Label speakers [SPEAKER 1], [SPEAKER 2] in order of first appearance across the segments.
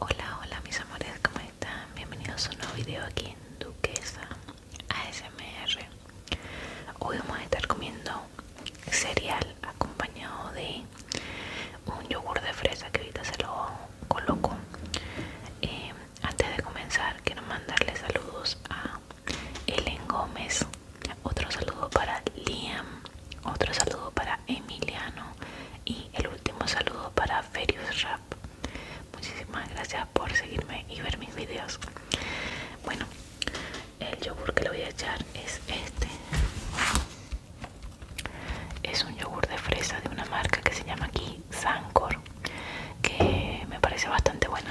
[SPEAKER 1] Hola, hola mis amores, ¿cómo están? Bienvenidos a un nuevo video aquí en Duquesa ASMR Hoy vamos a estar comiendo cereal acompañado de un yogur de fresa que ahorita se lo coloco em, Antes de comenzar quiero mandarle saludos a Ellen Gómez Otro saludo para Liam otro saludo para Emiliano y el último saludo para Ferius Rap. Muchísimas gracias por seguirme y ver mis videos. Bueno, el yogur que le voy a echar es este. Es un yogur de fresa de una marca que se llama aquí Sancor, que me parece bastante bueno.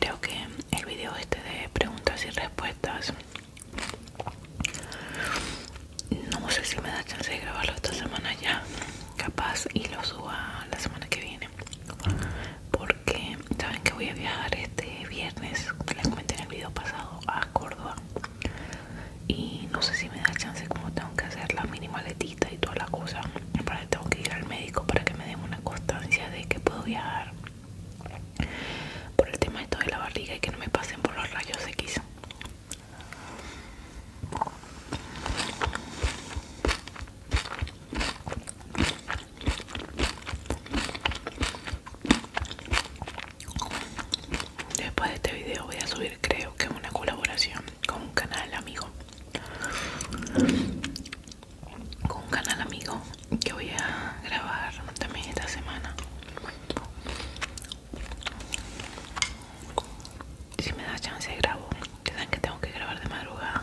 [SPEAKER 1] Creo que el video este de preguntas y respuestas no sé si me da chance de grabarlo esta semana ya, capaz y lo suba la semana que viene porque saben que voy a viajar este viernes les comenté en el video pasado a Córdoba y no sé si me da chance como tengo que hacer la mini maletita y toda la cosa tengo que ir al médico para que me den una constancia de que puedo viajar por el tema de de la barriga y que no me pasen por los rayos X Después de este video voy a subir creo que una colaboración con un canal amigo. Con un canal amigo que voy a grabar también esta semana. Si me da chance grabo que que tengo que grabar de madrugada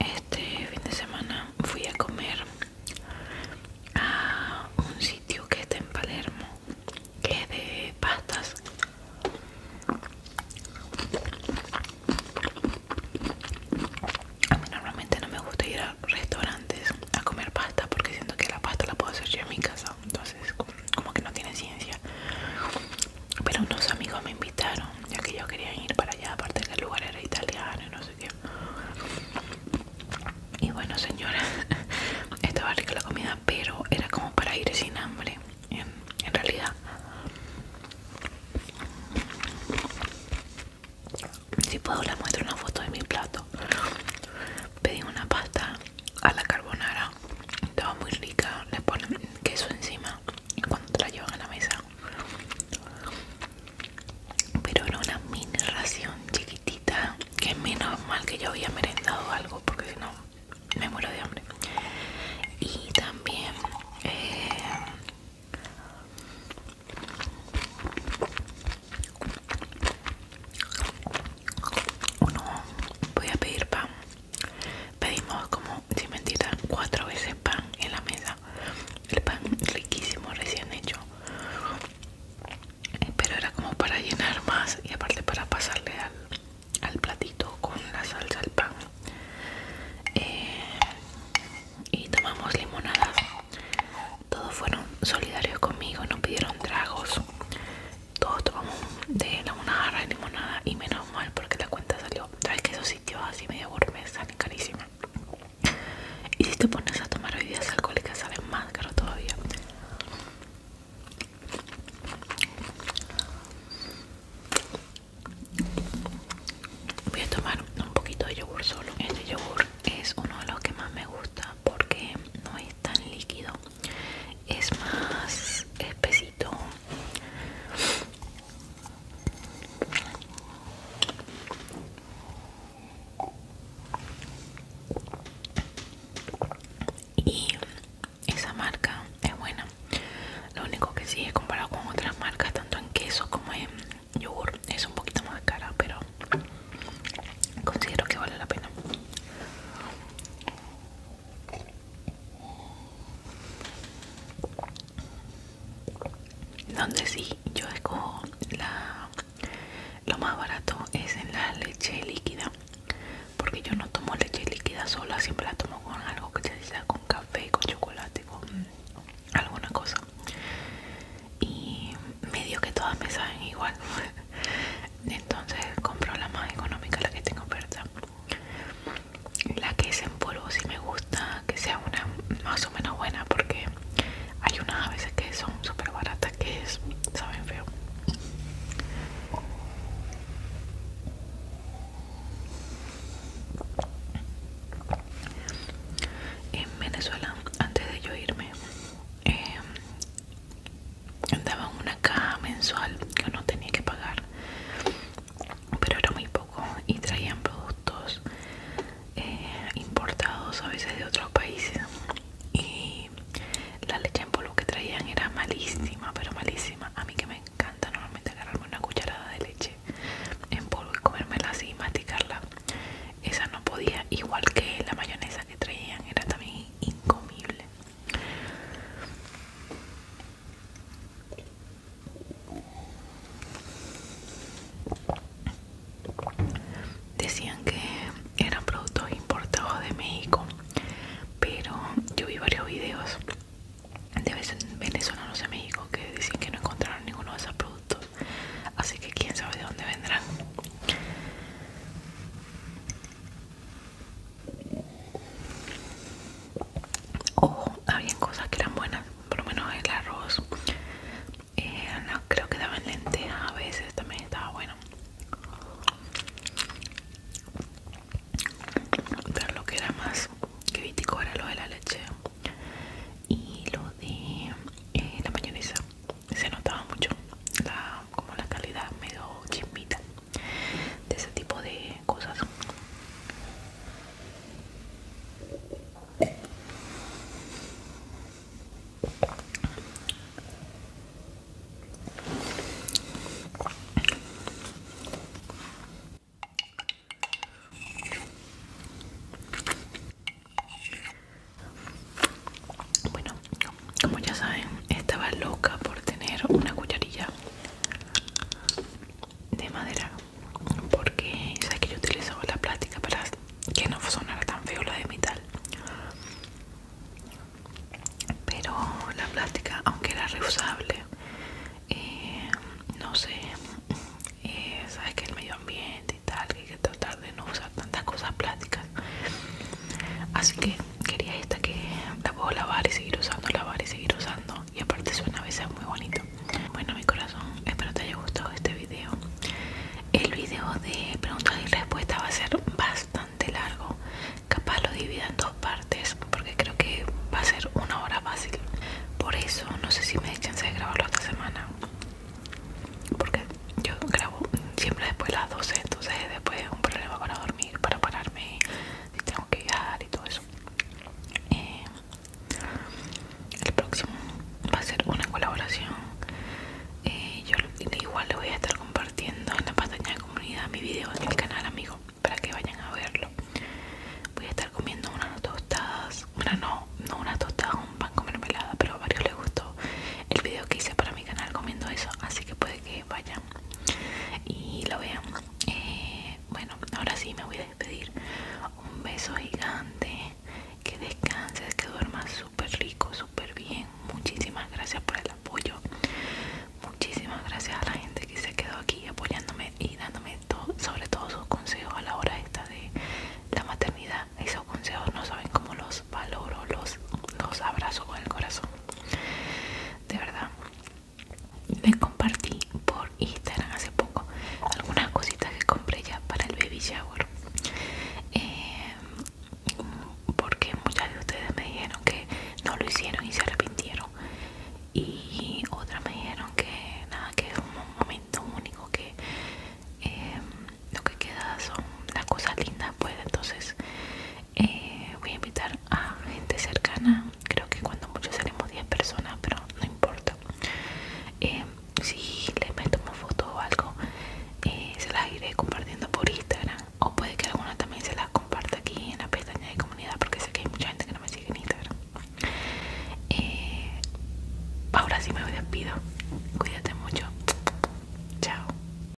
[SPEAKER 1] Este fin de semana fui a comer a un sitio que está en Palermo, que es de pastas. A mí normalmente no me gusta ir a restaurantes a comer pasta porque siento que la pasta la puedo hacer yo en mi casa entonces como, que no tiene ciencia pero unos amigos me invitaron ya que yo quería ir para allá aparte que el lugar era italiano y no sé qué y bueno señora estaba rica la comida pero era como para ir sin hambre en realidad si puedo les muestro una foto de mi plato pedí una pasta a la carbonara estaba muy rica le ponen queso encima cuando te la llevan a la mesa pero era una mini ración chiquitita que es menos mal que yo había merendado algo porque si no me muero de hambre y también eh, voy a pedir pan pedimos como sin mentira cuatro veces pan en la mesa el pan riquísimo recién hecho pero era como para llenar más y aparte para pasarle al, platito con la salsa al pan eh, y tomamos limonada todos fueron solidarios conmigo nos pidieron tragos todos tomamos de la una jarra de limonada y menos mal porque la cuenta salió sabes que esos sitios así medio gourmet salen carísimas y si te pones a tomar bebidas alcohólicas sale más caro todavía voy a tomar un poquito de yogur solo este yogur es uno de los que más me gusta porque no es tan líquido es más espesito y esa marca es buena lo único que sí es comparado con otras marcas tanto en queso como en yogur es un poquito más cara pero considero que vale la pena donde sí yo escojo la lo más barato es en la leche líquida porque yo no tomo leche líquida sola siempre la tomo con algo que sea con café con chocolate con alguna cosa y medio que todas me saben igual entonces compro la más económica la que tengo oferta la que es en polvo si me gusta que sea una más o menos buena porque hay unas a veces que son súper baratas que es, saben feo en Venezuela antes de yo irme eh, daban una caja mensual que uno tenía que pagar pero era muy poco y traían productos eh, importados a veces de otros países y la leche en polvo que traían era malísima pero malísima a mí que me encanta normalmente agarrarme una cucharada de leche en polvo y comérmela así y masticarla esa no podía igual que la mayonesa que traían era también incomible Decían que eran productos importados de México, pero yo vi varios videos de venezolanos en México que dicen que no encontraron ninguno de esos productos, así que quién sabe de dónde vendrán. Ojo, había cosas que eran buenas, por lo menos el arroz. Eh, no, creo que daban lentejas a veces, también estaba bueno. Pero lo que era más crítico era lo de la leche y lo de eh, la mayonesa se notaba mucho la, como la calidad medio chismita de ese tipo de cosas bueno como ya saben estaba loca por tener una cucharilla de madera porque sabes que yo utilizaba la plástica para que no sonara tan feo la de metal pero la plástica aunque era reusable eh, no sé eh, sabes que el medio ambiente y tal que hay que tratar de no usar tantas cosas plásticas así que quería esta que la puedo lavar y seguir usando lavar y seguir usando y aparte suena a veces muy bonito bueno mi corazón espero te haya gustado este video el video de preguntas y respuestas va a ser bastante largo capaz lo divida en dos partes porque creo que va a ser una hora fácil por eso no sé si me de chance de grabarlo esta semana porque yo grabo siempre después de las 12, entonces después es un problema para dormir, para pararme, si tengo que viajar y todo eso. Eh, el próximo va a ser una colaboración. Eh, yo igual le voy a estar compartiendo en la pantalla de comunidad mi video en el canal, amigo, para que vayan a verlo. Voy a estar comiendo unas tostadas, una no, no unas tostadas, un pan con mermelada, pero a varios les gustó el video que hice para mi canal comiendo eso, así que puede que vayan y lo vean. Eh, bueno, ahora sí me voy a despedir. Un beso gigante. Que descanses, que duermas súper rico, súper bien. Muchísimas gracias por el apoyo. Muchísimas gracias a la gente que se quedó aquí apoyándome y dándome todo, sobre todo sus consejos a la hora esta de la maternidad. Esos consejos no saben cómo los valoro, los, los abrazos con el corazón. De verdad, les compartí por Instagram hace poco algunas cositas que compré ya para el baby shower. Em, porque muchas de ustedes me dijeron que no lo hicieron y se arrepintieron. Y otras me dijeron que nada, que es un momento único, que em, lo que queda son las cosas lindas, pues entonces eh, voy a invitar a gente cercana creo que cuando mucho salimos 10 personas pero no importa eh, si les meto una foto o algo eh, se las iré compartiendo por Instagram o puede que alguna también se las comparta aquí en la pestaña de comunidad porque sé que hay mucha gente que no me sigue en Instagram ahora sí me despido cuídate mucho chao